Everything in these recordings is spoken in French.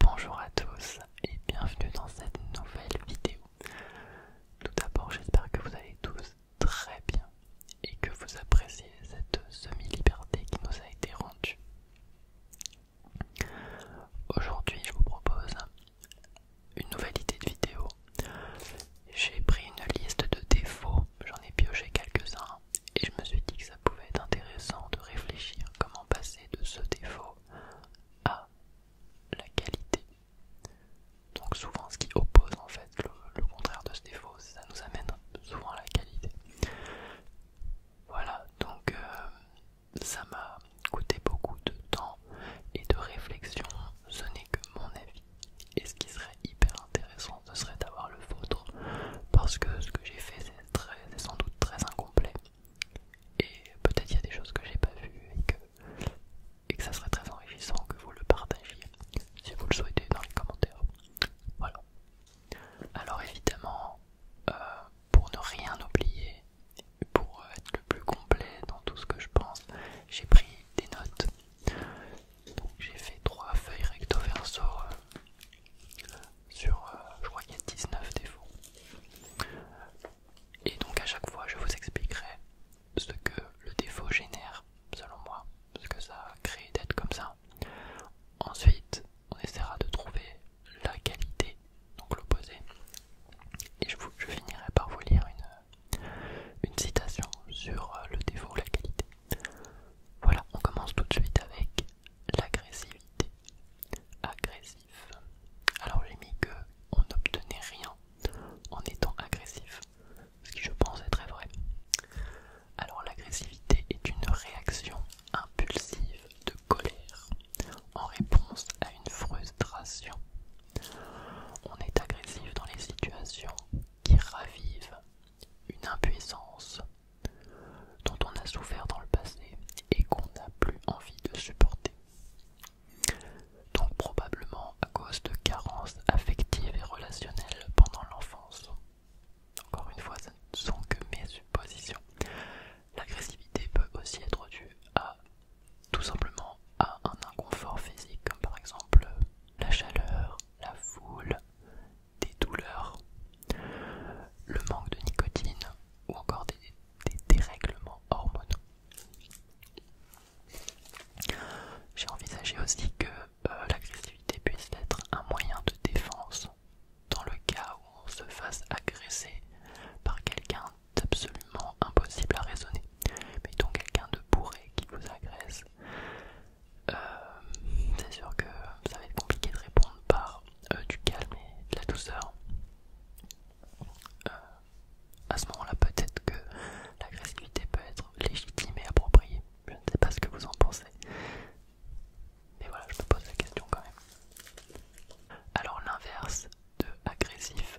Bonjour à tous et bienvenue dans cette nouvelle vidéo. Tout d'abord j'espère que vous allez tous très bien et que vous appréciez cette semi-liberté qui nous a été rendue. Aujourd'hui je vous propose une nouvelle idée de vidéo. J'ai pris une liste de défauts, j'en ai pioché quelques-uns et je me suis dit que ça pouvait être intéressant de réfléchir comment passer de ce défaut à la qualité. Donc souvent ce qui oppose en fait le, contraire de ce défaut, ça nous amène souvent à la qualité. Voilà, donc euh, ça m'a coûté beaucoup de temps et de réflexion, ce n'est que mon avis. Et ce qui serait hyper intéressant, ce serait d'avoir le vôtre, parce que ce que j'ai fait, c'est sans doute très incomplet. Et peut-être il y a des choses que j'ai pas vues et que, et que ça serait très enrichissant que vous le partagiez si vous le souhaitez dans les commentaires. Voilà. Alors évidemment, euh, pour ne rien oublier, pour euh, être le plus complet dans tout ce que je pense, j'ai pris des notes. Donc j'ai fait trois feuilles recto verso. Euh, sur, euh, je crois qu'il y a 19 défauts. Et donc à chaque fois, je vous expliquerai ce que le défaut génère, selon moi, ce que ça crée d'être comme ça. Ensuite, on essaiera de trouver la qualité, donc l'opposé. Et je, finirai par vous lire une, une citation sur euh, le défaut ou la qualité. Voilà, on commence tout de suite avec l'agressivité. Agressif. Alors j'ai mis que on n'obtenait rien en étant agressif, ce qui je pense est très vrai. Alors l'agressivité est une réaction impulsive de colère en réponse à une frustration. On est agressif dans les situations qui ravivent une impuissance dont on a souffert dans le passé et qu'on n'a plus envie de supporter. Donc probablement à cause de carences affectives et relationnelles pendant l'enfance. Encore une fois, ce ne sont que mes suppositions. L'agressivité peut aussi être due à tout simplement à un inconfort physique, comme par exemple la chaleur, la foule, des douleurs, le manque de nicotine ou encore des, dérèglements hormonaux. J'ai envisagé aussi que euh, l'agressivité puisse être un moyen de défense dans le cas où on se fasse agresser par quelqu'un d'absolument impossible à raisonner. Mais quelqu'un de bourré qui vous agresse. Euh, c'est sûr que ça va être compliqué de répondre par euh, du calme et de la douceur. Euh, à ce moment-là, peut-être que l'agressivité peut être légitime et appropriée. Je ne sais pas ce que vous en pensez. Mais voilà, je me pose la question quand même. Alors l'inverse de agressif,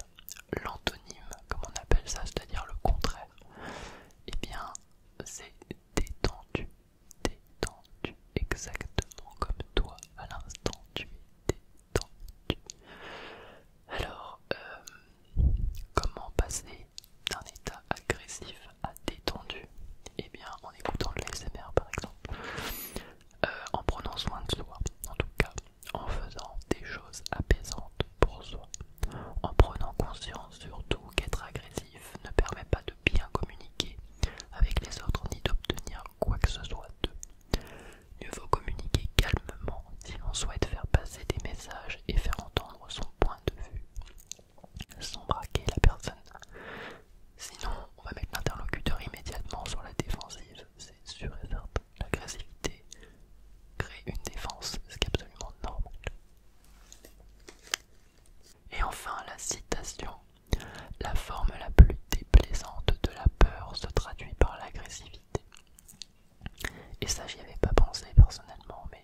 l'antonyme, comme on appelle ça, c'est-à-dire le contraire, et eh bien c'est détendu détendu, exactement comme toi à l'instant tu es détendu. Alors, euh, comment passer d'un état agressif à détendu Eh bien, en écoutant de l'ASMR par exemple, euh, en prenant soin de soi, en tout cas, en faisant des choses apaisantes pour soi, en prenant conscience surtout qu'être agressif ne permet pas bien communiquer avec les autres ni d'obtenir quoi que ce soit d'eux. Mieux vaut communiquer calmement si l'on souhaite faire passer des messages et faire entendre son point de vue sans braquer la personne. Sinon, on va mettre l'interlocuteur immédiatement sur la défensive, c'est sûr et L'agressivité crée une défense, ce qui est absolument normal. Et enfin la citation. La forme la plus déplaisante de la peur se traduit par l'agressivité. Et ça j'y avais pas pensé personnellement, mais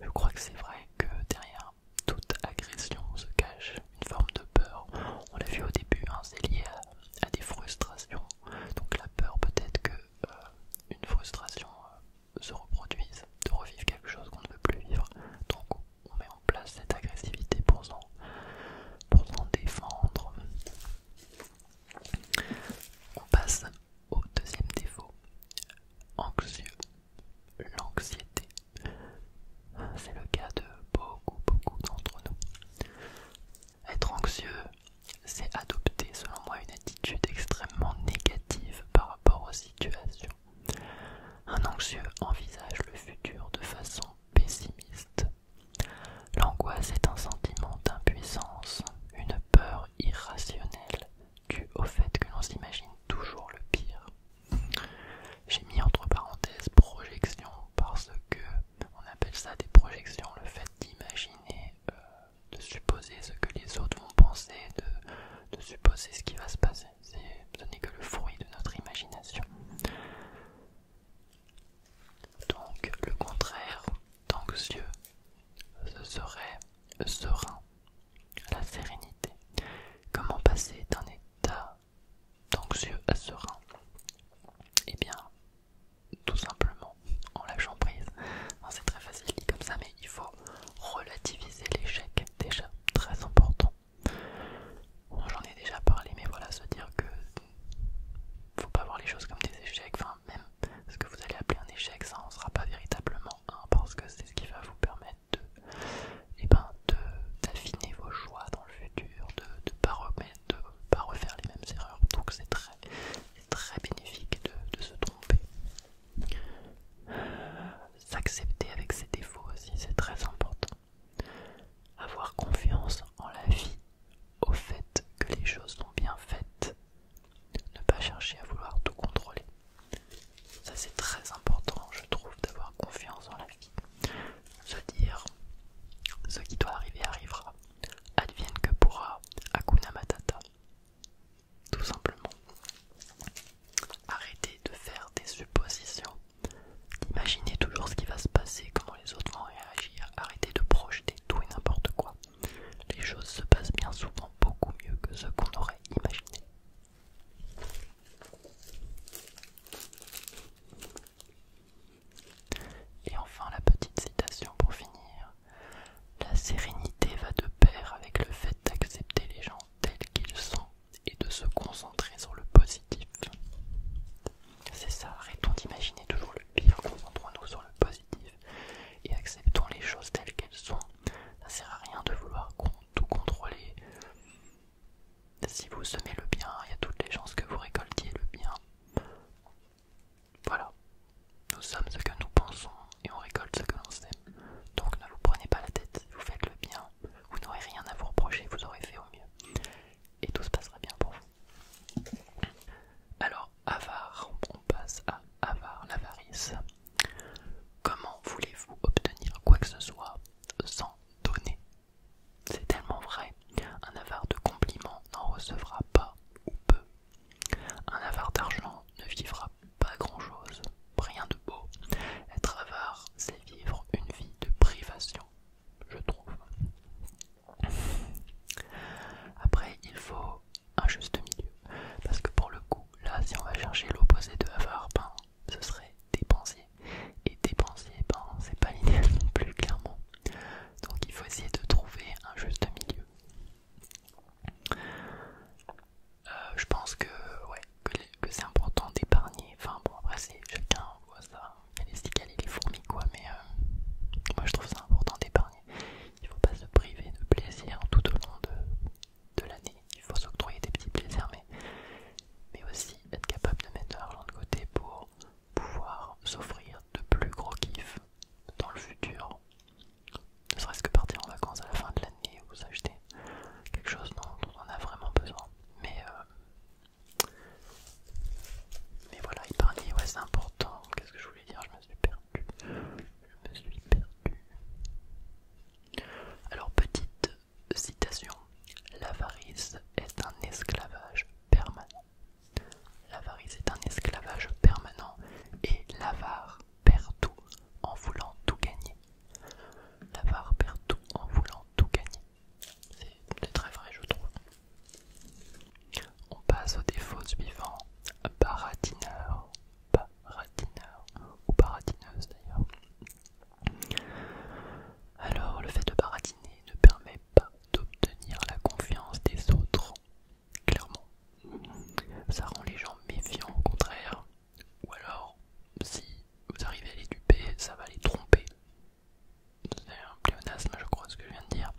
je crois que c'est vrai que derrière toute agression se cache une forme de peur. On l'a vu au début, hein, c'est lié à, des frustrations. Donc la peur peut-être que euh, une frustration euh, se reproduise, de revivre quelque chose qu'on ne veut plus vivre. Donc on met en place cette agressivité pour s'en défendre. On passe au deuxième défaut, anxieux, l'anxiété. C'est le cas de beaucoup, beaucoup d'entre nous. Être anxieux, c'est adopter selon moi une attitude extrêmement négative par rapport aux situations un anxieux envisage le futur de façon pessimiste. L'angoisse est un sentiment d'impuissance, une peur irrationnelle due au fait que l'on s'imagine toujours le pire. J'ai mis entre parenthèses projection parce que on appelle ça des projections, le fait d'imaginer, euh, de supposer ce que les autres vont penser, de supposer ce qui va se passer ce n'est que le fruit de notre imagination. Donc le contraire d'anxieux, ce serait serein, la sérénité. Comment passer d'un état d'anxieux à serein Eh bien, tout simplement en lâchant prise. Hein, c'est très facile dit comme ça, mais il faut relativiser l'échec déjà, très important. J'en ai déjà parlé, mais voilà, se dire que faut pas voir les choses comme des échecs, enfin, même ce que vous allez appeler un échec, ça en sera pas véritablement un, parce que c'est ce qui va vous permettre de. et eh ben, d'affiner vos choix dans le futur, de ne de pas, refaire les mêmes erreurs. Donc c'est très, très bénéfique de se tromper. S'accepter avec ses défauts aussi, c'est très important. Avoir confiance en la vie, au fait que les choses sont bien faites. Ne pas chercher à vouloir tout contrôler. Ça c'est très important, je trouve, d'avoir confiance en la vie. Se dire, ce qui doit arriver arrivera. Advienne que pourra, Hakuna Matata. Tout simplement. Arrêtez de faire des suppositions. d'imaginer toujours ce qui va se passer, comment les autres vont réagir. Arrêtez de projeter tout et n'importe quoi. Les choses se passent bien souvent beaucoup mieux que ce qu'on aurait imaginé. Et enfin la petite citation pour finir. La sérénité va de pair avec le fait d'accepter les gens tels qu'ils sont et de se concentrer sur le positif. C'est ça, arrêtons d'imaginer toujours le pire, concentrons-nous sur le positif et acceptons les choses telles qu'elles sont. Ça sert à rien de vouloir tout contrôler. Si vous semez le bien, il y a toutes les chances que vous récoltiez le bien. Voilà, nous sommes ce que nous pensons et on récolte ce que l'on sème. Donc ne vous prenez pas la tête, vous faites le bien, vous n'aurez rien à vous reprocher, vous aurez fait au mieux. Et tout se passera bien pour vous. Alors, avare, on passe à avare, l'avarice. Comment voulez-vous obtenir quoi que ce soit sans donner C'est tellement vrai. Un avare de compliments n'en recevra pas ou peu. Un avare d'argent ne vivra pas grand-chose, rien de beau. Être avare, c'est vivre une vie de privation, je trouve. Après, il faut un juste milieu, parce que pour le coup, là, si on va chercher l'opposé de avare, ben, ce serait dépensier. Et dépensier, ben, c'est pas l'idéal non plus, clairement. Donc, il faut essayer de trouver un juste milieu. Euh, je pense que ouais, que, c'est important d'épargner. Enfin bon, après, chacun voit ça. Il y a les cicales et les fourmis, quoi. Mais euh, moi, je trouve ça important d'épargner. Il faut pas se priver de plaisir tout au long de, l'année. Il faut s'octroyer des petits plaisirs, mais, mais aussi être capable de mettre de l'argent de côté pour pouvoir s'offrir de plus gros kiffs dans le futur. Ne serait-ce que partir en vacances à la fin de l'année vous achetez quelque chose dont on a vraiment besoin. Mais, euh, mais voilà, épargner, ouais, c'est important. Qu'est-ce que je voulais dire Je me suis perdu. Je me suis perdu. Alors, petite citation l'avarice est un esclavage permanent. L'avarice est un esclavage permanent et l'avare perd tout en voulant tout gagner. La barre perd tout en voulant tout gagner. C'est très vrai, je trouve. On passe au défaut suivant baratineur, baratineur ou baratineuse d'ailleurs. Alors, le fait de baratiner ne permet pas d'obtenir la confiance des autres, clairement. Ça rend les gens méfiants au contraire, ou alors, si vous arrivez à les duper, ça va les tromper. C'est un pléonasme, je crois, ce que je viens de dire.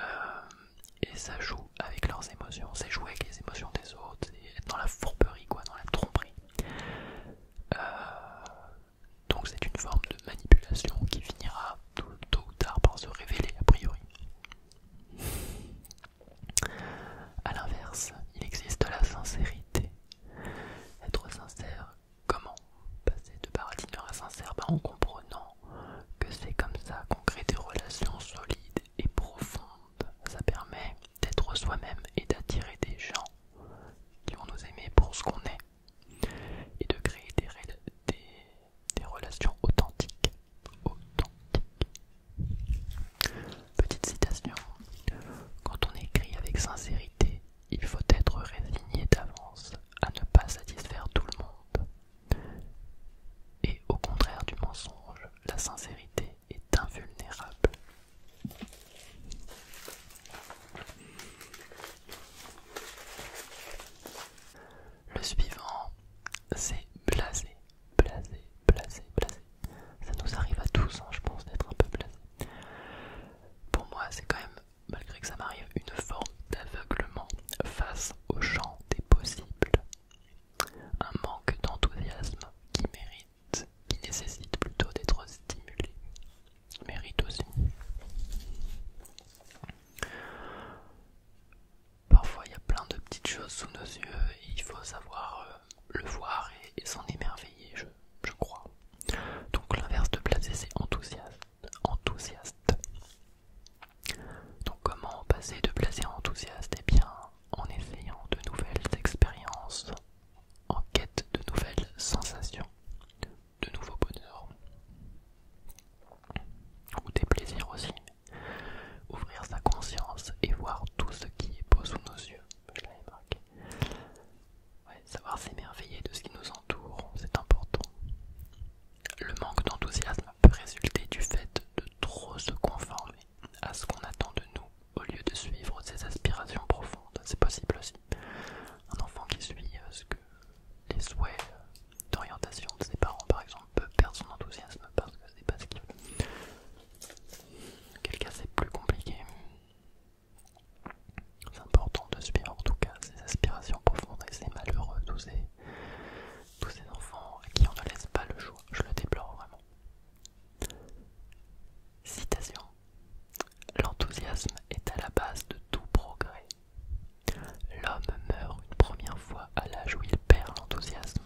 Euh, et ça joue avec leurs émotions, c'est jouer avec les émotions des autres, c'est être dans la fourberie, quoi, dans la tromperie. Euh, donc c'est une forme de manipulation qui finira tôt ou tard par se révéler, a priori. A l'inverse, il existe la sincérité. Être sincère, comment Passer de paradigme à sincère en comprenant que c'est comme ça qu'on crée des relations solides et profondes. Ça permet d'être soi-même et d'attirer des gens qui vont nous aimer pour ce qu'on est et de créer des, des relations Authentiques, Petite citation. Quand on écrit avec sincérité, il faut être résigné d'avance à ne pas satisfaire tout le monde. Et au contraire du mensonge, la sincérité est invulnérable. Le suivant, c'est blasé blasé, blasé, blasé. Ça nous arrive à tous, hein, je pense, d'être un peu blasé. Pour moi, c'est quand même, malgré que ça m'arrive, une forme d'aveuglement face au champ des possibles. Un manque d'enthousiasme qui mérite, qui nécessite plutôt d'être stimulé. Mérite aussi. Parfois, il y a plein de petites choses sous nos yeux il faut savoir euh, le voir et, s'en émerveiller, je, crois. Donc l'inverse de placer, c'est enthousiaste. Donc comment passer de placer à enthousiaste Et eh bien, en essayant de nouvelles expériences, en quête de nouvelles sensations, de nouveaux bonheurs, ou des plaisirs aussi. Ouvrir sa conscience et voir tout ce qui est beau sous nos yeux. savoir s'émerveiller de ce qui nous entoure, c'est important. Le manque d'enthousiasme peut résulter du fait de trop se conformer à ce qu'on attend de nous au lieu de suivre ses aspirations profondes. C'est possible aussi. Un enfant qui suit euh, les souhaits euh, d'orientation de ses parents, par exemple, peut perdre son enthousiasme parce que c'est pas ce qu'il veut. Quel cas c'est plus compliqué. C'est important de suivre en tout cas Ces aspirations profondes et c'est malheureux tous ces, tous ces enfants à qui on ne laisse pas le choix. Je le déplore vraiment. Citation. L'enthousiasme est à la base de tout progrès. L'homme meurt une première fois à l'âge où il perd l'enthousiasme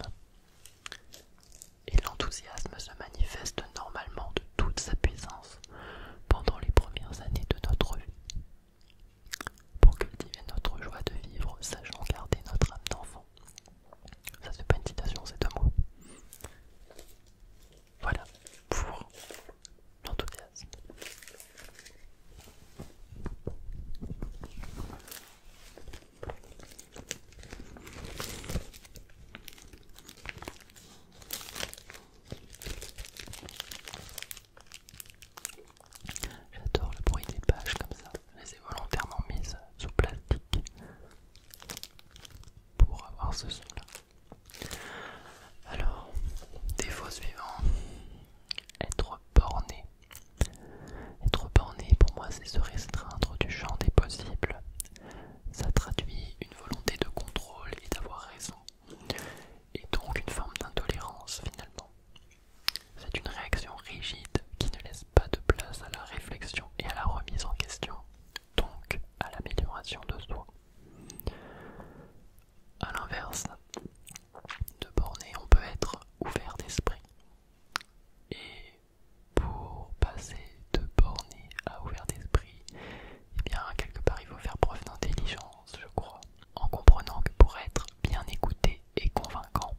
et l'enthousiasme se manifeste normalement de toute sa puissance pendant les premières années de notre vie. Pour cultiver notre joie de vivre, sachant garder notre âme d'enfant. Ça c'est pas une citation, c'est un mot. Voilà pour l'enthousiasme. J'adore le bruit des pages comme ça, je les ai volontairement mises sous plastique pour avoir ce son là. Alors, défaut suivant, être borné. Être borné, pour moi, c'est se restreindre du champ des possibles. Ça traduit une volonté de contrôle et d'avoir raison, et donc une forme d'intolérance finalement. C'est une réaction rigide qui ne laisse pas de place à la réflexion et à la remise en question, donc à l'amélioration de soi. A l'inverse, de borné, on peut être ouvert d'esprit et pour passer de borné à ouvert d'esprit, eh bien, quelque part, il faut faire preuve d'intelligence, je crois, en comprenant que pour être bien écouté et convaincant,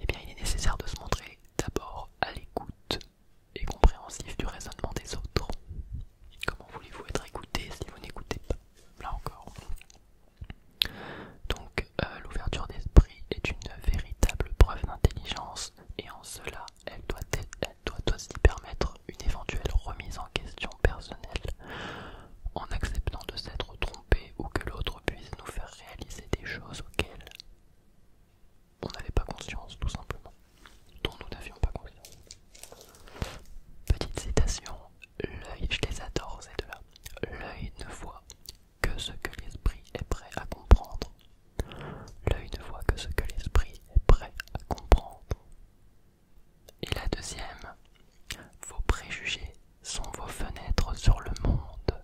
eh bien, il est nécessaire de se montrer d'abord à l'écoute et compréhensif du raisonnement des autres. Comment voulez-vous être écouté si vous n'écoutez pas Là encore. Donc euh, l'ouverture d'esprit est une véritable preuve d'intelligence et en cela elle doit, aussi permettre une éventuelle remise en question personnelle en acceptant de s'être trompé ou que l'autre puisse nous faire réaliser des choses auxquelles on n'avait pas conscience tout simplement, dont nous n'avions pas conscience. Petite citation, l'œil, je les adore ces deux-là, l'œil ne voit que ce que l'esprit est prêt à comprendre. L'œil ne voit que ce que l'esprit est prêt à comprendre. Et la deuxième, vos préjugés sont vos fenêtres sur le monde.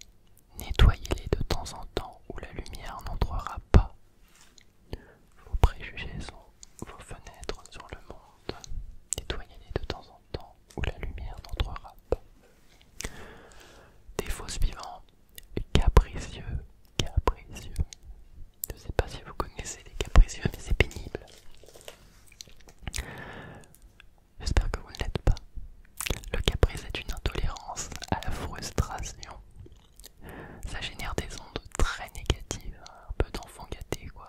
Nettoyez-les de temps en temps où la lumière n'entrera pas. Vos préjugés sont vos fenêtres sur le monde. Nettoyez-les de temps en temps temps où la lumière n'entrera pas. Défaut suivant, capricieux, capricieux. Je ne sais pas si vous connaissez les capricieux, mais c'est pénible. J'espère que vous ne l'êtes pas. Le caprice est une intolérance à la frustration. Ça génère des ondes très négatives, hein, un peu d'enfant gâté quoi.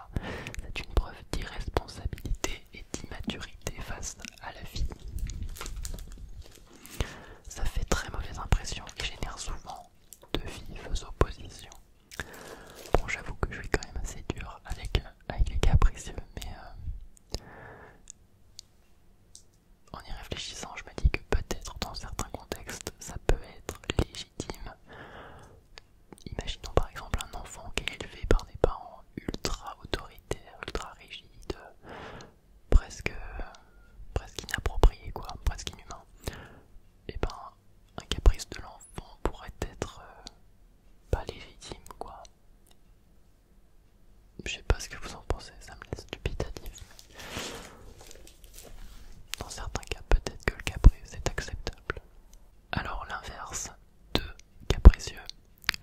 C'est une preuve d'irresponsabilité d'immaturité face à la vie. Ça fait très mauvaise impression et génère souvent de vives oppositions. Bon, j'avoue que je suis quand même assez dur avec, euh, avec les capricieux, mais euh, en y réfléchissant, je me dis que peut-être dans certains contextes, ça peut être légitime. Imaginons par exemple un enfant qui est élevé par des parents ultra autoritaires ultra rigide, presque, presque inapproprié, quoi, presque inhumain, et eh ben un caprice de l'enfant pourrait être euh, pas légitime, quoi. Je sais pas ce que vous en pensez, ça me laisse dubitatif. Dans certains cas, peut-être que le caprice est acceptable. Alors l'inverse de capricieux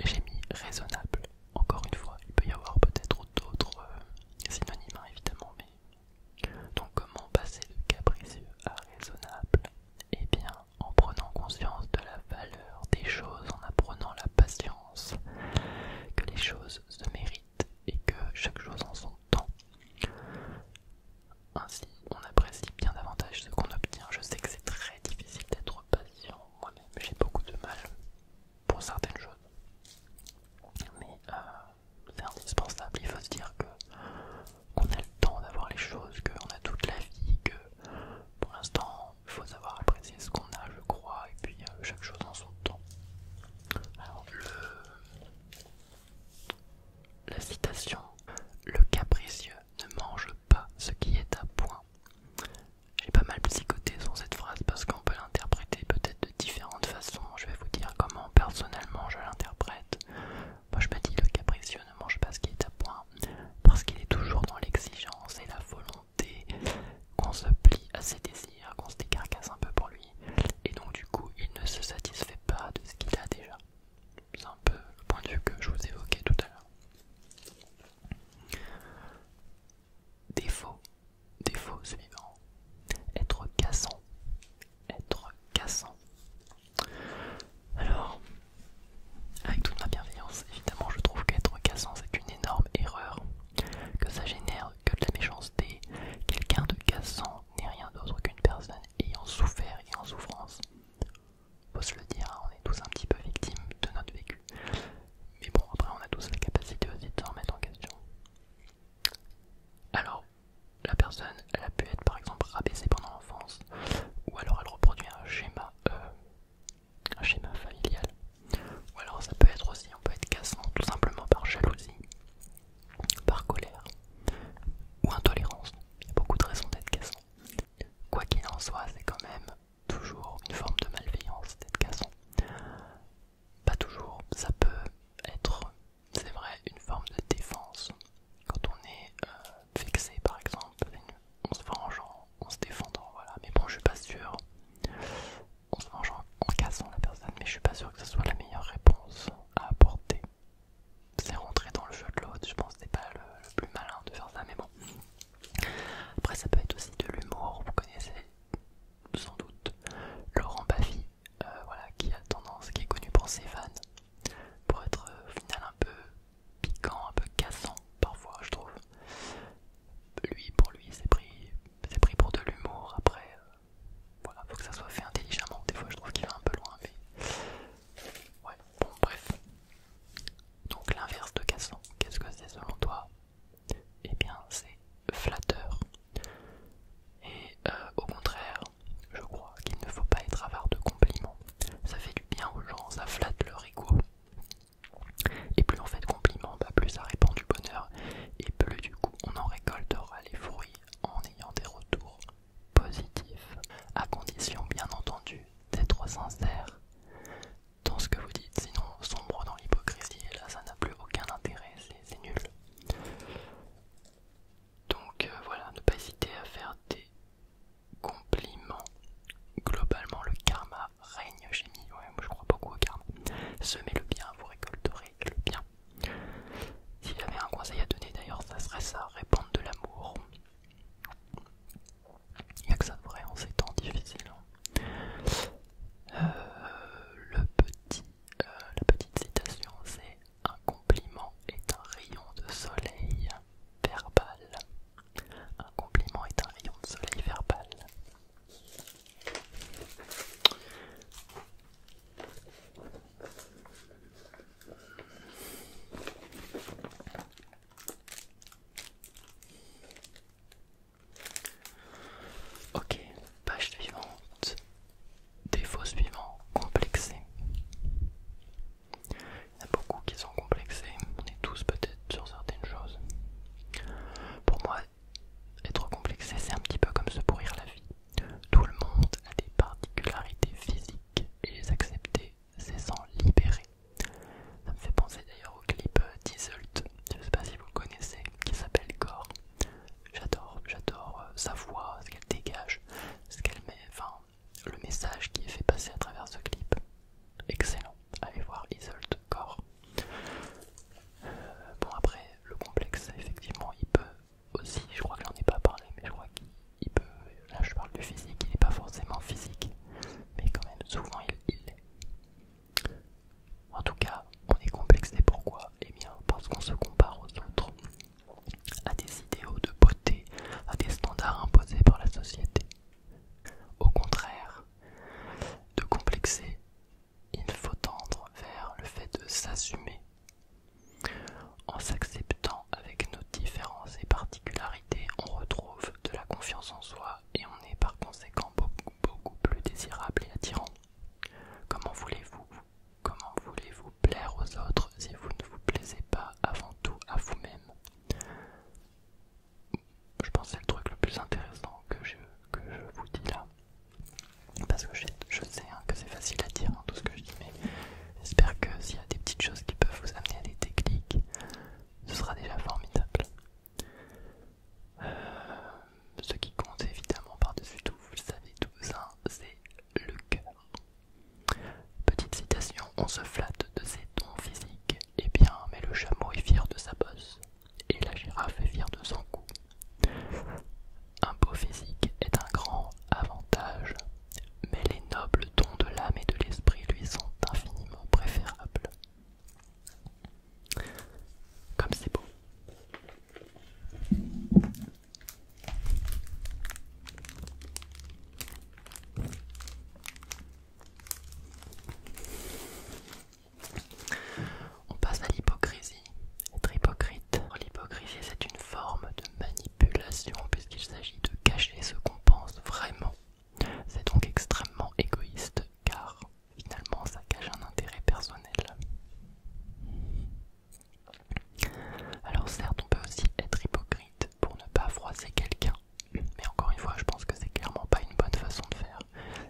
j'ai mis raisonnable. Encore une fois, il peut y avoir peut-être d'autres euh, synonymes, hein, évidemment, mais. Donc, comment passer de capricieux à raisonnable Eh bien, en prenant conscience de la valeur des choses, en apprenant la patience, que les choses se méritent et que chaque chose en son temps. Ainsi, on apprécie bien davantage ce qu'on obtient. Je sais que c'est très difficile d'être patient moi-même j'ai beaucoup de mal pour certaines choses. Mais euh, c'est indispensable, il faut se dire que qu'on a le temps d'avoir les choses, qu'on a toute la vie, que pour l'instant il faut savoir apprécier ce qu'on a, je crois, et puis euh, chaque chose en son temps. Alors, le... La citation, le capricieux ne mange pas ce qui est à point. J'ai pas mal psychoté sur cette phrase parce qu'on peut l'interpréter peut-être de différentes façons. Je vais vous dire comment personnellement je l'interprète. Moi je me dis le capricieux ne mange pas ce qui est à point parce qu'il est toujours dans l'exigence et la volonté qu'on se plie à ses désirs, qu'on se décarcasse un peu pour lui. Et donc du coup il ne se satisfait pas de ce qu'il a déjà. C'est un peu le point de vue que je vous évoquais tout à l'heure. Défaut, défaut suivant. Être cassant, être cassant. Alors, avec toute ma bienveillance, évidemment, je trouve qu'être cassant, c'est une énorme erreur. Que ça génère que de la méchanceté. Quelqu'un de cassant n'est rien d'autre qu'une personne ayant souffert et en souffrance. Faut se le dire, on est tous un petit peu victimes de notre vécu. Mais bon, après, on a tous la capacité aussi de se remettre en question. Alors, la personne, elle a pu être par exemple rabaissée pendant l'enfance, ou alors elle reproduit un schéma, euh, un schéma familial. Ou alors ça peut être aussi, on peut être cassant tout simplement par jalousie, par colère, ou intolérance. Il y a beaucoup de raisons d'être cassant. Quoi qu'il en soit, c'est quand même toujours une forme de malveillance d'être cassant. Pas toujours, ça peut être, c'est vrai, une forme de défense. Quand on est fixé euh, par exemple, on se vengeant, en, se défendant, voilà. Mais bon, je suis pas sûr, on se vengeant en, cassant la personne, mais je suis pas sûr que ce soit la meilleure réponse à apporter. C'est rentrer dans le jeu de l'autre, je pense que c'est pas le, le plus malin de faire ça, mais bon. Après, ça peut être aussi de l'humour, vous connaissez sans doute Laurent Baffy, euh, voilà, qui a tendance, qui est connu pour ses fans, pour être euh, au final un peu piquant, un peu cassant parfois, je trouve. Lui, pour lui, c'est pris, pris pour de l'humour. Après, euh, voilà, faut que ça soit fait intelligemment. Des fois, je trouve qu'il va un peu loin, Ouais, bon, bref. Donc l'inverse de cassant, qu'est-ce que c'est selon toi Eh bien, c'est flatteur. Et euh, au contraire, je crois qu'il ne faut pas être avare de compliments. Ça fait du bien aux gens, ça flatte leur ego. Et plus on fait de compliments, bah, plus ça répand du bonheur. Et plus du coup, on en récoltera les fruits en ayant des retours positifs. À condition, bien entendu, d'être sincère dans ce que vous dites, sinon sombre dans l'hypocrisie, et là ça n'a plus aucun intérêt, c'est nul. Donc euh, voilà, ne pas hésiter à faire des compliments. Globalement, le karma règne chez moi. Hein, moi je crois beaucoup au karma. Semez le bien, vous récolterez le bien. Si j'avais un conseil à donner d'ailleurs, ça serait ça, répandre de l'amour. Il a que ça de vrai en hein, ces temps difficiles. Hein. Euh, le petit, euh, la petite citation, c'est un compliment est un rayon de soleil verbal. Un compliment est un rayon de soleil verbal. Ok, page suivante. Défaut suivant, complexé. Il y en a beaucoup qui sont complexés, on est tous peut-être sur certaines choses. Pour moi, être complexé, c'est un petit peu comme se pourrir la vie. Tout le monde a des particularités physiques et les accepter c'est s'en libérer. Ça me fait penser d'ailleurs au clip euh, d'Isult, je sais pas si vous connaissez, qui s'appelle Gore. J'adore, j'adore euh, sa voix, ce qu'elle dégage, ce qu'elle met, enfin, le message qui est fait passer à travers ce clip. Excellent, allez voir Isult Gore. Euh, bon, après, le complexe, effectivement, il peut aussi, je crois que n'en ai pas parlé, mais je crois qu'il il peut, là je parle du physique, il n'est pas forcément physique, mais quand même souvent il l'est. En tout cas, on est complexé pourquoi Eh bien parce qu'on se compare aux autres, à des idéaux de beauté, à des standards imposés par la société. Au contraire, de complexer, il faut tendre vers le fait de s'assumer en s'acceptant avec nos différences et particularités on retrouve de la confiance en soi et on est par conséquent beaucoup, plus désirable et attirant. Comment voulez-vous Comment voulez-vous plaire aux autres si vous ne vous plaisez pas avant tout à vous-même Je pense que c'est le truc le plus intéressant que je, que je vous dis là. Parce que je, sais hein, que c'est facile à dire hein, tout ce que je dis, mais J'espère que s'il y a des petites choses qui peuvent vous amener à des techniques, ce sera déjà formidable. Euh, ce qui compte évidemment par-dessus tout, vous le savez tous, hein, c'est le cœur. Petite citation, on se flatte de ses dons physiques, eh bien, mais le chameau est fier de sa bosse, et la girafe est fière de son cou. Un beau physique est un grand avantage mais les nobles dons de l'âme et de l'esprit lui sont infiniment préférables. Comme c'est beau. On passe à l'hypocrisie. Être hypocrite. L'hypocrisie, c'est une forme de manipulation puisqu'il s'agit de cacher ce qu'on pense vraiment. C'est donc extrêmement égoïste car finalement ça cache un intérêt personnel. Alors certes on peut aussi être hypocrite pour ne pas froisser quelqu'un, mais encore une fois je pense que c'est clairement pas une bonne façon de faire.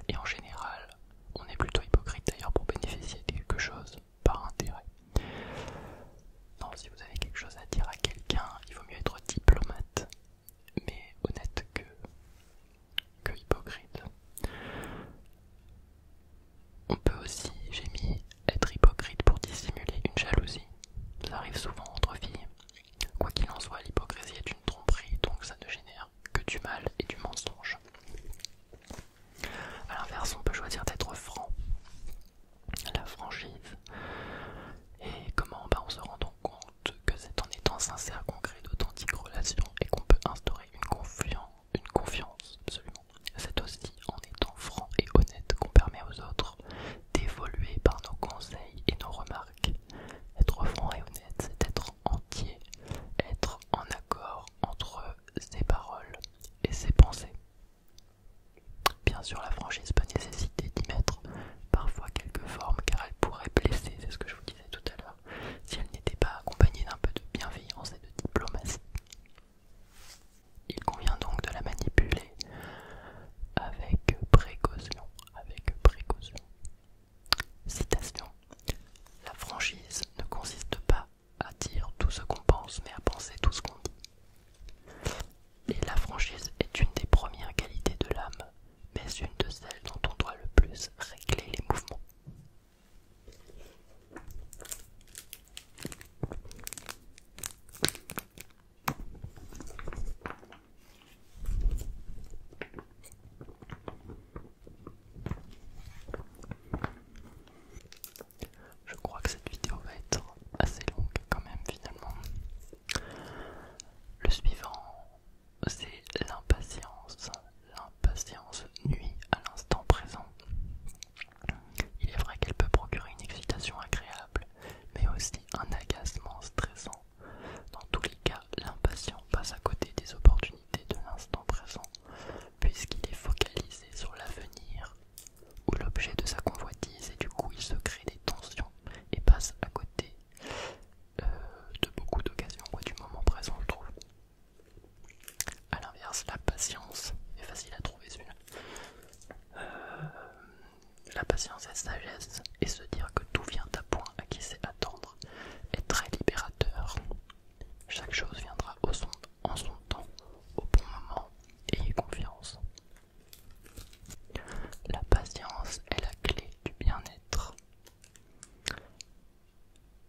Et en général on est plutôt hypocrite d'ailleurs pour bénéficier de quelque chose par intérêt. Non, si vous avez quelque chose à dire à quelqu'un, il vaut mieux être diplomate, mais honnête que, que hypocrite. On peut aussi, j'ai mis, être hypocrite pour dissimuler une jalousie. Ça arrive souvent entre filles. Quoi qu'il en soit, l'hypocrisie est une tromperie, donc ça ne génère que du mal et du mensonge. À l'inverse, on peut choisir d'être franc la franchise et comment on bah, se rend donc compte que c'est en étant sincère qu'on d'authentique d'authentiques relations et qu'on peut instaurer une, confiance, une confiance absolument. C'est aussi en étant franc et honnête qu'on permet aux autres d'évoluer par nos conseils et nos remarques. Être franc et honnête, c'est être entier, être en accord entre ses paroles et ses pensées. Bien sûr, la franchise peut nécessiter d'y mettre parfois quelques formes car elle pourrait blesser, c'est ce que je vous disais tout à l'heure, si elle n'était pas accompagnée d'un peu de bienveillance et de diplomatie. Il convient donc de la manipuler avec précaution, avec précaution. Citation. La franchise ne consiste pas à dire tout ce qu'on pense, mais à penser tout ce qu'on dit. Et la franchise est une des premières qualités de l'âme, mais une de celles dont on doit le plus régler les mouvements. Je crois que cette vidéo va être assez longue quand même finalement. Le suivant, c'est l'impatience. L'impatience nuit à l'instant présent. Il est vrai qu'elle peut procurer une excitation agréable, mais aussi un agacement stressant. Dans tous les cas, l'impatience passe à côté des opportunités de l'instant présent, puisqu'il est focalisé sur l'avenir où l'objet de sa convoitise et du coup il se crée des tensions et passe à côté euh, de beaucoup d'occasions du moment présent je trouve. A l'inverse, la patience est facile à trouver celui euh, la patience et sagesse et se dire que tout vient à point à qui sait attendre est très libérateur. Chaque chose viendra au son, en son temps, au bon moment, ayez confiance. La patience est la clé du bien-être.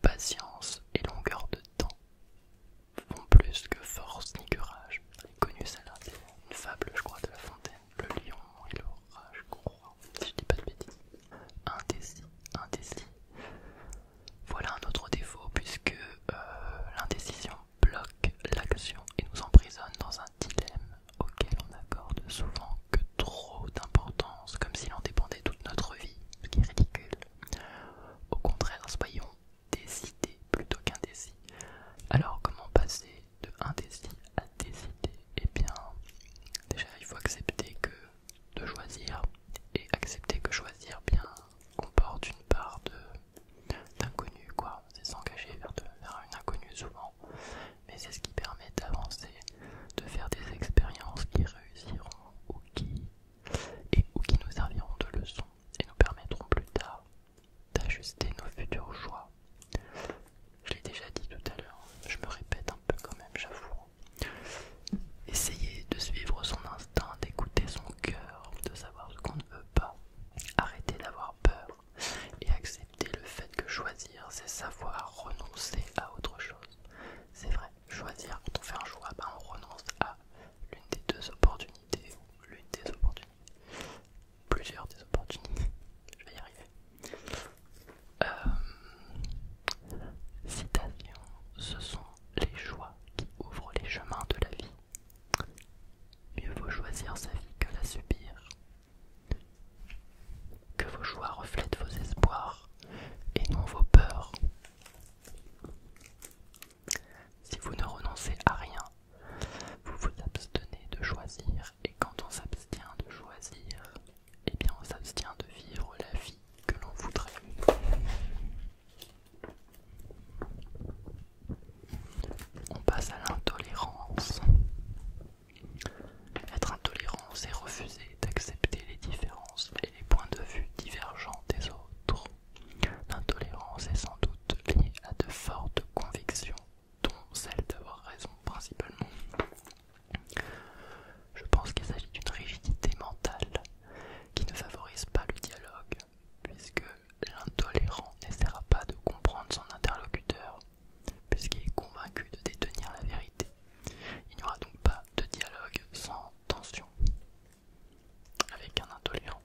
Patience et longueur de temps font plus que force ni courage. rage. connu celle-là, une fable, je crois, de La Fontaine. Le lion et l'orage Qu'on si je dis pas de bêtises. Indécis, indécis. Voilà un autre défaut, puisque euh, l'indécision bloque l'action et nous emprisonne dans un dilemme auquel on n'accorde souvent que trop d'importance, comme s'il en dépendait toute notre vie, ce qui est ridicule. Au contraire, soyons décidés plutôt qu'indécis. Alors, comment passer de indécis à décider Eh bien, déjà, il faut accepter que de choisir et accepter que choisir bien comporte une part de d'inconnu, quoi. C'est s'engager vers, vers une inconnue souvent, mais c'est ce qui permet d'avancer, de faire des expériences qui réussiront ou qui, et, ou qui nous serviront de leçon et nous permettront plus tard d'ajuster nos futurs choix. Je l'ai déjà dit tout à l'heure, je me répète un peu quand même, j'avoue. Essayez de suivre son instinct, d'écouter son cœur, de savoir ce qu'on ne veut pas, Arrêtez d'avoir peur et acceptez le fait que choisir, c'est savoir renoncer à autre chose. C'est vrai, choisir, quand on fait un choix, ben, on renonce à l'une des deux opportunités ou l'une des opportunités. Plusieurs des opportunités. Je vais y arriver. Euh, citation, ce sont les choix qui ouvrent les chemins de la vie. Mieux vaut choisir sa vie que la subir. Que vos choix reflètent vos espoirs et non vos peurs. Si vous ne renoncez à rien, vous vous abstenez de choisir et quand on s'abstient de choisir, eh bien on s'abstient de vivre la vie que l'on voudrait. On passe à l'intolérance. Être intolérant, c'est refuser d'accepter les différences et les points de vue divergents des autres. L'intolérance est sans doute liée à de fortes convictions, dont celle d'avoir raison principalement. Je pense qu'il s'agit d'une rigidité mentale qui ne favorise pas le dialogue puisque l'intolérant n'essaiera pas de comprendre son interlocuteur, puisqu'il est convaincu de détenir la vérité. Il n'y aura donc pas de dialogue sans tension avec un intolérant.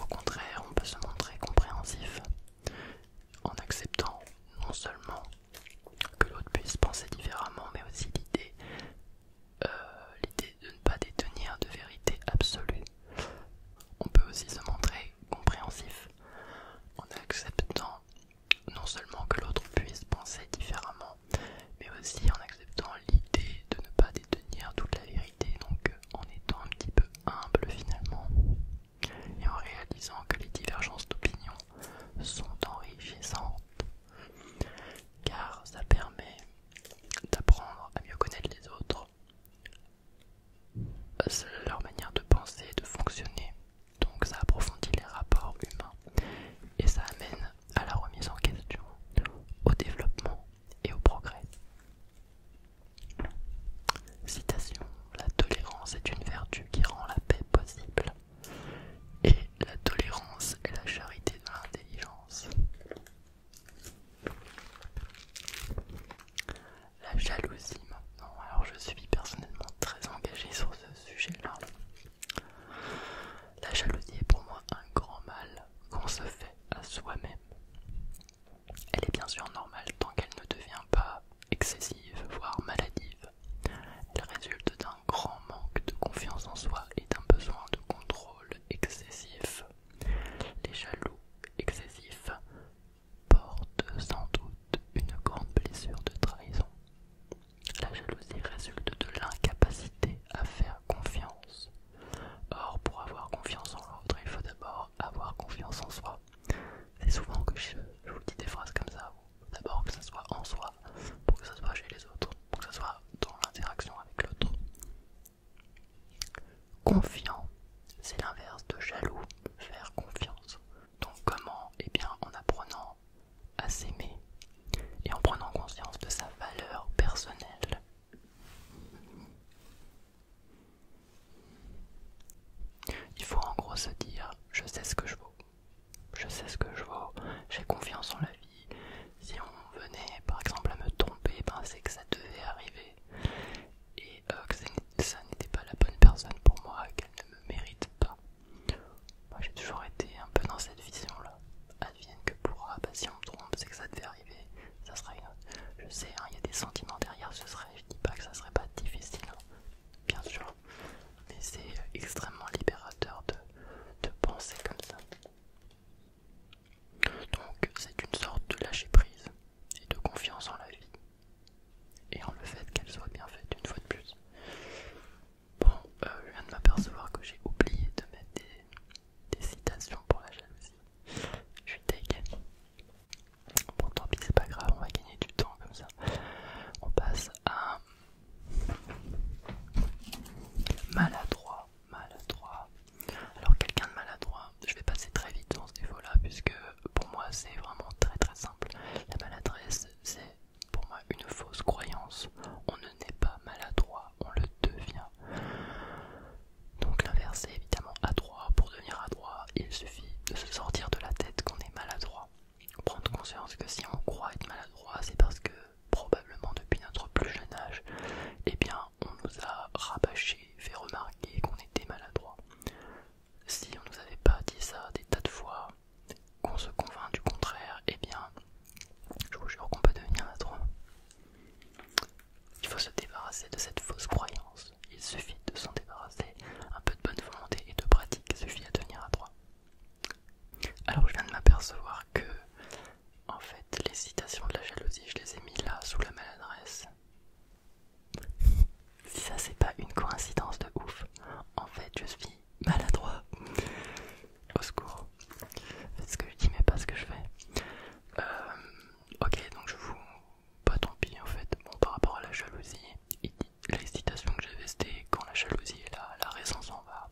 Au contraire, on peut se montrer compréhensif en acceptant non seulement que l'autre puisse penser différemment, mais aussi l'idée euh, l'idée de ne pas détenir de vérité absolue. On peut aussi se montrer compréhensif en acceptant non seulement que l'autre puisse penser différemment, mais aussi en acceptant l'idée de ne pas détenir toute la vérité, donc euh, en étant un petit peu humble finalement, et en réalisant que les divergences d'opinion sont enrichissantes, car ça permet d'apprendre à mieux connaître les autres, leur manière de penser, de fonctionner. Donc ça approfondit les rapports humains et ça amène à la remise en question, au développement et au progrès. Citation, la tolérance est une vertu qui rend la paix possible et la tolérance est la charité de l'intelligence. La jalousie maintenant. Alors je suis personnellement très engagée sur ce sujet-là. La jalousie est pour moi un grand mal qu'on se fait à soi-même. Elle est bien sûr normale tant qu'elle ne devient pas excessive, voire maladive. Elle résulte d'un grand manque de confiance en soi et d'un besoin de contrôle excessif les jaloux excessifs portent sans doute une grande blessure de trahison. La jalousie résulte de l'incapacité à faire confiance. Or, pour avoir confiance en l'autre, il faut d'abord avoir confiance en soi. C'est souvent que je, vous dis des phrases comme ça. D'abord que ça soit en soi, pour que ça soit chez les autres, pour que ça soit dans l'interaction avec l'autre. Confiant, c'est l'inverse de jaloux, faire confiance. Donc comment Eh bien en apprenant à s'aimer et en prenant conscience de sa valeur personnelle. Il faut en gros se dire, je sais ce que je vaux. Je sais ce que je vaux, j'ai confiance en la vie, si on venait par exemple à me tromper, ben, c'est que ça devait arriver et euh, que ça n'était pas la bonne personne pour moi, qu'elle ne me mérite pas. Moi j'ai toujours été un peu dans cette vision là. Advienne que pourra, bah, si on me trompe, c'est que ça devait arriver. Ça sera Je sais, hein, il y a des sentiments derrière, ce serait, je dis pas que ça serait pas difficile, hein, bien sûr, mais c'est euh, extrêmement libérateur de, de penser comme ça. Donc c'est une sorte de lâcher prise et de confiance en la vie et en le fait qu'elle soit bien faite une fois de plus. Bon, euh, je viens de m'apercevoir que j'ai oublié de mettre des, citations pour la jalousie. Je suis taken. Bon, tant pis, c'est pas grave, on va gagner du temps comme ça. On passe à maladroit maladroit. Alors quelqu'un de maladroit, je vais passer très vite dans ce défaut-là, puisque pour moi c'est vraiment très très simple. La maladresse, c'est pour moi une fausse croyance. On ne n'est pas maladroit, on le devient. Donc l'inverse est évidemment adroit. Pour devenir adroit, il suffit de se sortir de la tête qu'on est maladroit. Prendre conscience que si on croit être maladroit, c'est parce que probablement depuis notre plus jeune âge, eh bien on nous a rabâché, fait remarquer qu'on était maladroit. Si on nous avait pas dit ça des tas de fois, qu'on se convainc du contraire, eh bien je vous jure qu'on peut devenir maladroit. Il faut se débarrasser de cette fausse croyance. Il suffit de s'en débarrasser. Un peu de bonne volonté et de pratique suffit à devenir adroit. Alors je viens de m'apercevoir que en fait, les citations de la jalousie, je les ai mis là sous la maladresse. Si ça, c'est pas une coïncidence de ouf. En fait, je suis maladroit. Au secours. Faites ce que je dis, mais pas ce que je fais. Euh, ok, donc je vous. Pas bah, tant pis en fait. Bon, par rapport à la jalousie, les citations que j'avais, c'était quand la jalousie est là, la raison s'en va.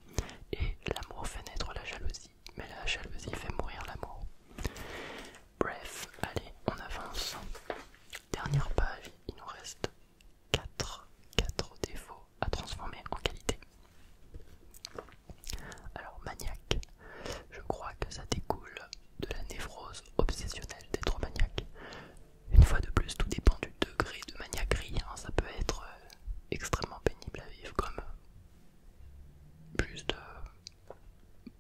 Et l'amour fait naître la jalousie mais la jalousie fait mourir l'amour. Bref, allez, on avance. Dernière page, il nous reste 4, 4 défauts à transformer en qualité. Alors, maniaque, je crois que ça découle de la névrose obsessionnelle d'être maniaque. Une fois de plus, tout dépend du degré de maniaquerie, hein. ça peut être euh, extrêmement pénible à vivre comme plus de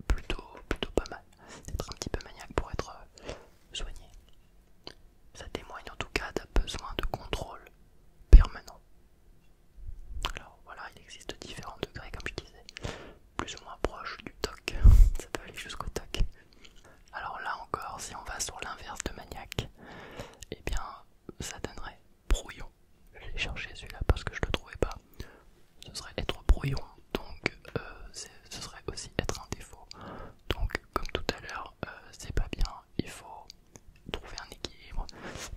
plutôt plutôt pas mal d'être un petit peu maniaque pour être euh, soigné ça témoigne en tout cas d'un besoin de contrôle permanent alors voilà il existe différents degrés comme je disais plus ou moins proche du toc ça peut aller jusqu'au toc alors là encore si on va sur l'inverse de maniaque et eh bien ça donnerait brouillon. Je l'ai cherché celui-là parce que je le trouvais pas. Ce serait être brouillon, donc euh, ce serait aussi être un défaut. Donc, comme tout à l'heure, euh, c'est pas bien, il faut trouver un équilibre.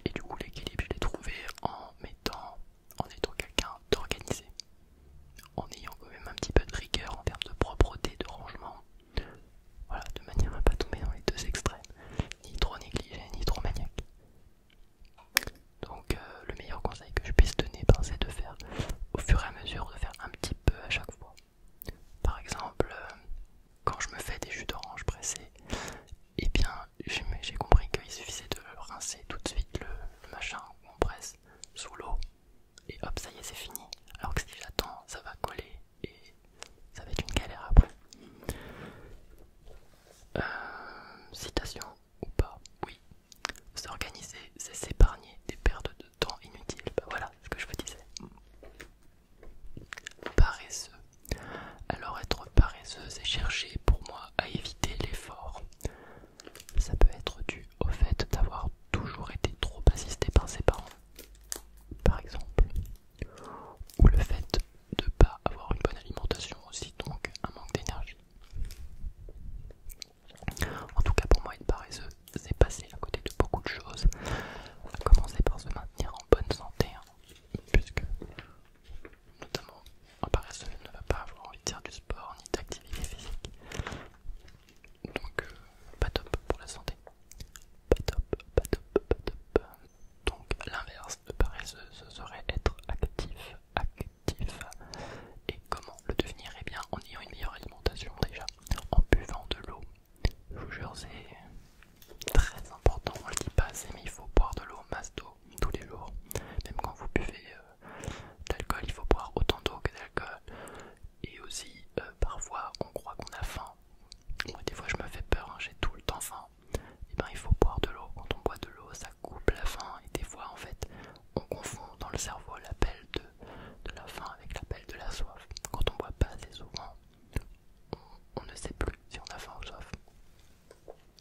Et du coup, l'équilibre, je l'ai trouvé en mettant, en étant quelqu'un d'organisé, en ayant quand même un petit peu de rigueur en termes de propreté, de rangement. Voilà, de manière à pas tomber dans les deux extrêmes, ni trop négligé, ni trop maniaque. Donc, euh, le meilleur conseil que je puisse donner, ben, c'est de faire au fur et à mesure, de faire un petit peu à chaque fois. Par exemple, euh, quand je me fais des jus d'orange pressés, et eh bien j'ai compris qu'il suffisait de rincer tout de suite le, machin où on presse sous l'eau, et hop, ça y est, c'est fini. Alors que si j'attends, ça va coller et ça va être une galère après. Euh, citation ou pas Oui. S'organiser, c'est s'épargner des pertes de temps inutiles. Bah, voilà ce que je vous disais. Paresseux. Alors être paresseux, c'est chercher pour moi à éviter l'effort. Ça peut être dû au fait d'avoir toujours été trop assisté par ses parents, par exemple ou le fait de ne pas avoir une bonne alimentation aussi, donc un manque d'énergie. En tout cas, pour moi, être paresseux, c'est passer à côté de beaucoup de choses. On va commencer par se maintenir en bonne santé, hein. puisque notamment un paresseux ne va pas avoir envie de faire du sport ni d'activité physique. Donc, euh, pas top pour la santé. Pas top, pas top, pas top. Donc l'inverse de paresseux, ce serait être actif, actif. Et comment le devenir Eh bien en ayant une meilleure alimentation déjà, en buvant de l'eau. Je vous jure, c'est très important, on ne le dit pas assez, mais il faut boire de l'eau, masse d'eau, tous les jours. Même quand vous buvez euh, d'alcool, de il faut boire autant d'eau que d'alcool. Et aussi, euh, parfois, on croit qu'on a faim, des fois, je me fais peur, hein. j'ai tout le temps faim. Et eh ben, il faut boire de l'eau. Quand on boit de l'eau, ça coupe la faim. Et des fois, en fait, on confond dans le cerveau l'appel de, la faim avec l'appel de la soif. Quand on boit pas assez souvent, on, ne sait plus si on a faim ou soif.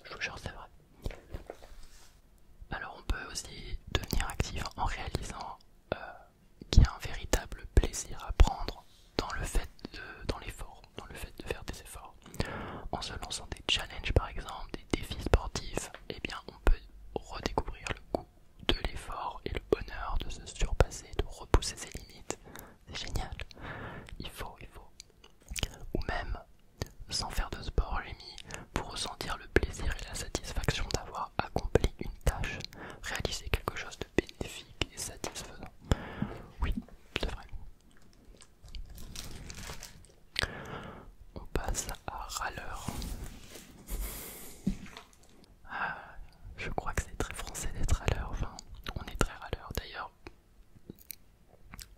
Je vous jure, c'est vrai. Alors, on peut aussi devenir actif en réalisant euh, qu'il y a un véritable plaisir à prendre dans le fait de, dans l'effort, dans le fait de faire des efforts. En se lançant des challenges par exemple, des défis sportifs, eh bien on peut redécouvrir le goût de l'effort et le bonheur de se surpasser, de repousser ses limites. C'est génial. Il faut, il faut. Ou même, sans faire de sport, j'ai mis pour ressentir le plaisir et la satisfaction d'avoir accompli une tâche, réalisé quelque chose de bénéfique et satisfaisant. Oui, c'est vrai. On passe à râleur. Ah, je crois que c'est très français d'être râleur. Enfin, on est très râleur d'ailleurs.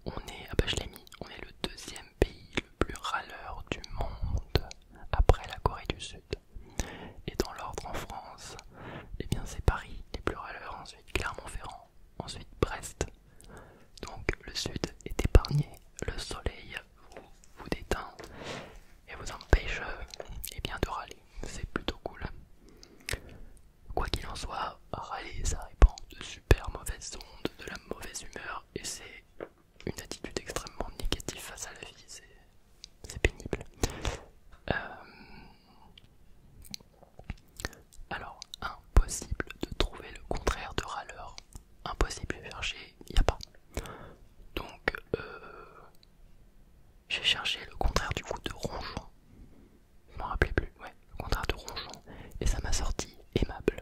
On est, ah bah je l'ai mis, on est le deuxième pays le plus râleur du monde après la Corée du Sud. Et dans l'ordre en France, eh bien c'est Paris les plus râleurs, ensuite Clermont-Ferrand, ensuite Brest. Donc le sud est épargné, le soleil vous, détend déteint et vous empêche eh bien, de râler. C'est plutôt cool. Quoi qu'il en soit, râler ça répond de super mauvaises ondes, de la mauvaise humeur et c'est une attitude extrêmement négative face à la vie. C'est pénible. Euh, alors, impossible de trouver le contraire de râleur. Impossible de chercher, il n'y a pas. Donc, euh, j'ai cherché le contraire du coup de ronchon. Je m'en rappelez plus, ouais, le contraire de ronchon. Et ça m'a sorti aimable.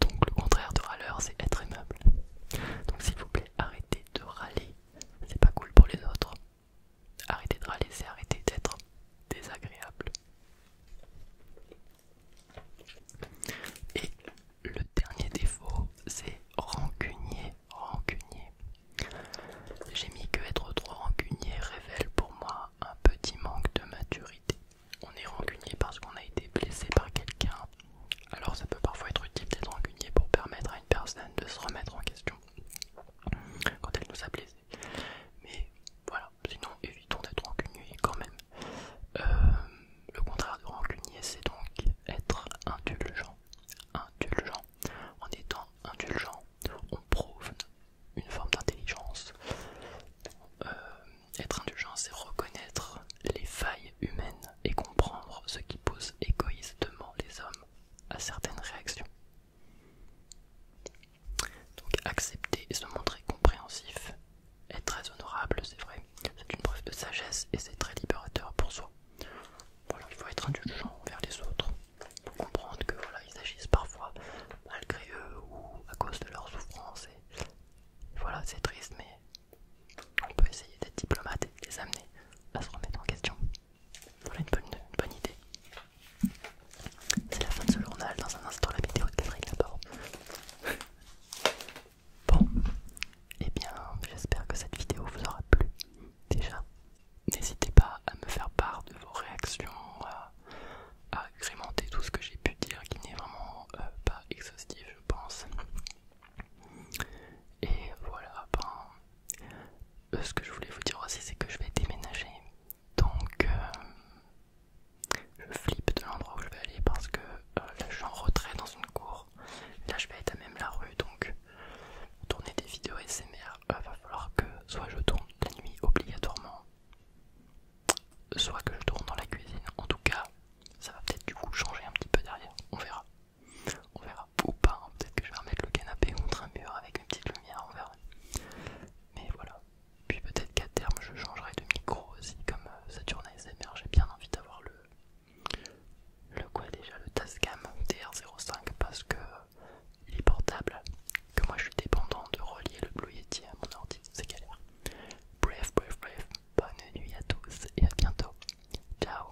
Donc, le contraire de râleur, c'est être aimable. Donc, s'il vous plaît, arrêtez de râler. C'est pas cool pour les autres. Arrêtez de râler, arrêter d'être désagréable. Et le dernier défaut, c'est rancunier, rancunier. J'ai mis que être trop rancunier révèle pour moi un petit manque de maturité. On est rancunier parce qu'on a été blessé par quelqu'un. Alors ça peut parfois être utile d'être rancunier pour permettre à une personne de se remettre en question quand elle nous a blessés. Mais voilà, sinon évitons d'être rancunier quand même. Euh, le contraire de rancunier, c'est donc être indulgent. Indulgent. En étant indulgent, on prouve une forme d'intelligence. Euh, être indulgent, c'est reconnaître les failles humaines et comprendre ce qui pousse égoïstement les hommes à certaines réactions. Donc accepter et se montrer compréhensif est très honorable, c'est vrai. C'est une preuve de sagesse et c'est très libérateur pour soi. il faut être indulgent envers les autres pour comprendre que voilà, ils agissent parfois malgré eux ou à cause de leur souffrances. voilà, c'est triste, mais on peut essayer d'être diplomate et les amener à se remettre en question. Voilà une bonne, idée. C'est la fin de ce journal. Dans un instant, la vidéo de Catherine d'abord. Bon, et eh bien, j'espère que cette vidéo vous aura plu. Déjà, n'hésitez pas à me faire part de vos réactions, à, agrémenter tout ce que j'ai pu dire qui n'est vraiment euh, pas exhaustif, je pense. Et voilà, ben, euh, ce que je voulais vous dire aussi, c'est que je vais déménager. Donc, euh, je flippe de l'endroit où je vais aller parce que euh, là, je suis en retrait dans une cour. Là, je vais être à même la rue, donc tourner des vidéos SMR, il va falloir que soit je tourne la nuit obligatoirement, soit que je tourne dans la cuisine. En tout cas, ça va peut-être du coup changer un petit peu derrière. On verra. On verra ou pas, hein. peut-être que je vais remettre le canapé contre un mur avec une petite lumière, on verra. Mais voilà. Puis peut-être qu'à terme je changerai de micro aussi, comme cette euh, journée ASMR, j'ai bien envie d'avoir le... Le quoi déjà Le Tascam dr 05 parce que euh, il est portable, que moi je suis dépendant de relier le Blue Yeti à mon ordi, c'est galère. Bref, bref, bref, bonne nuit à tous et à bientôt. Ciao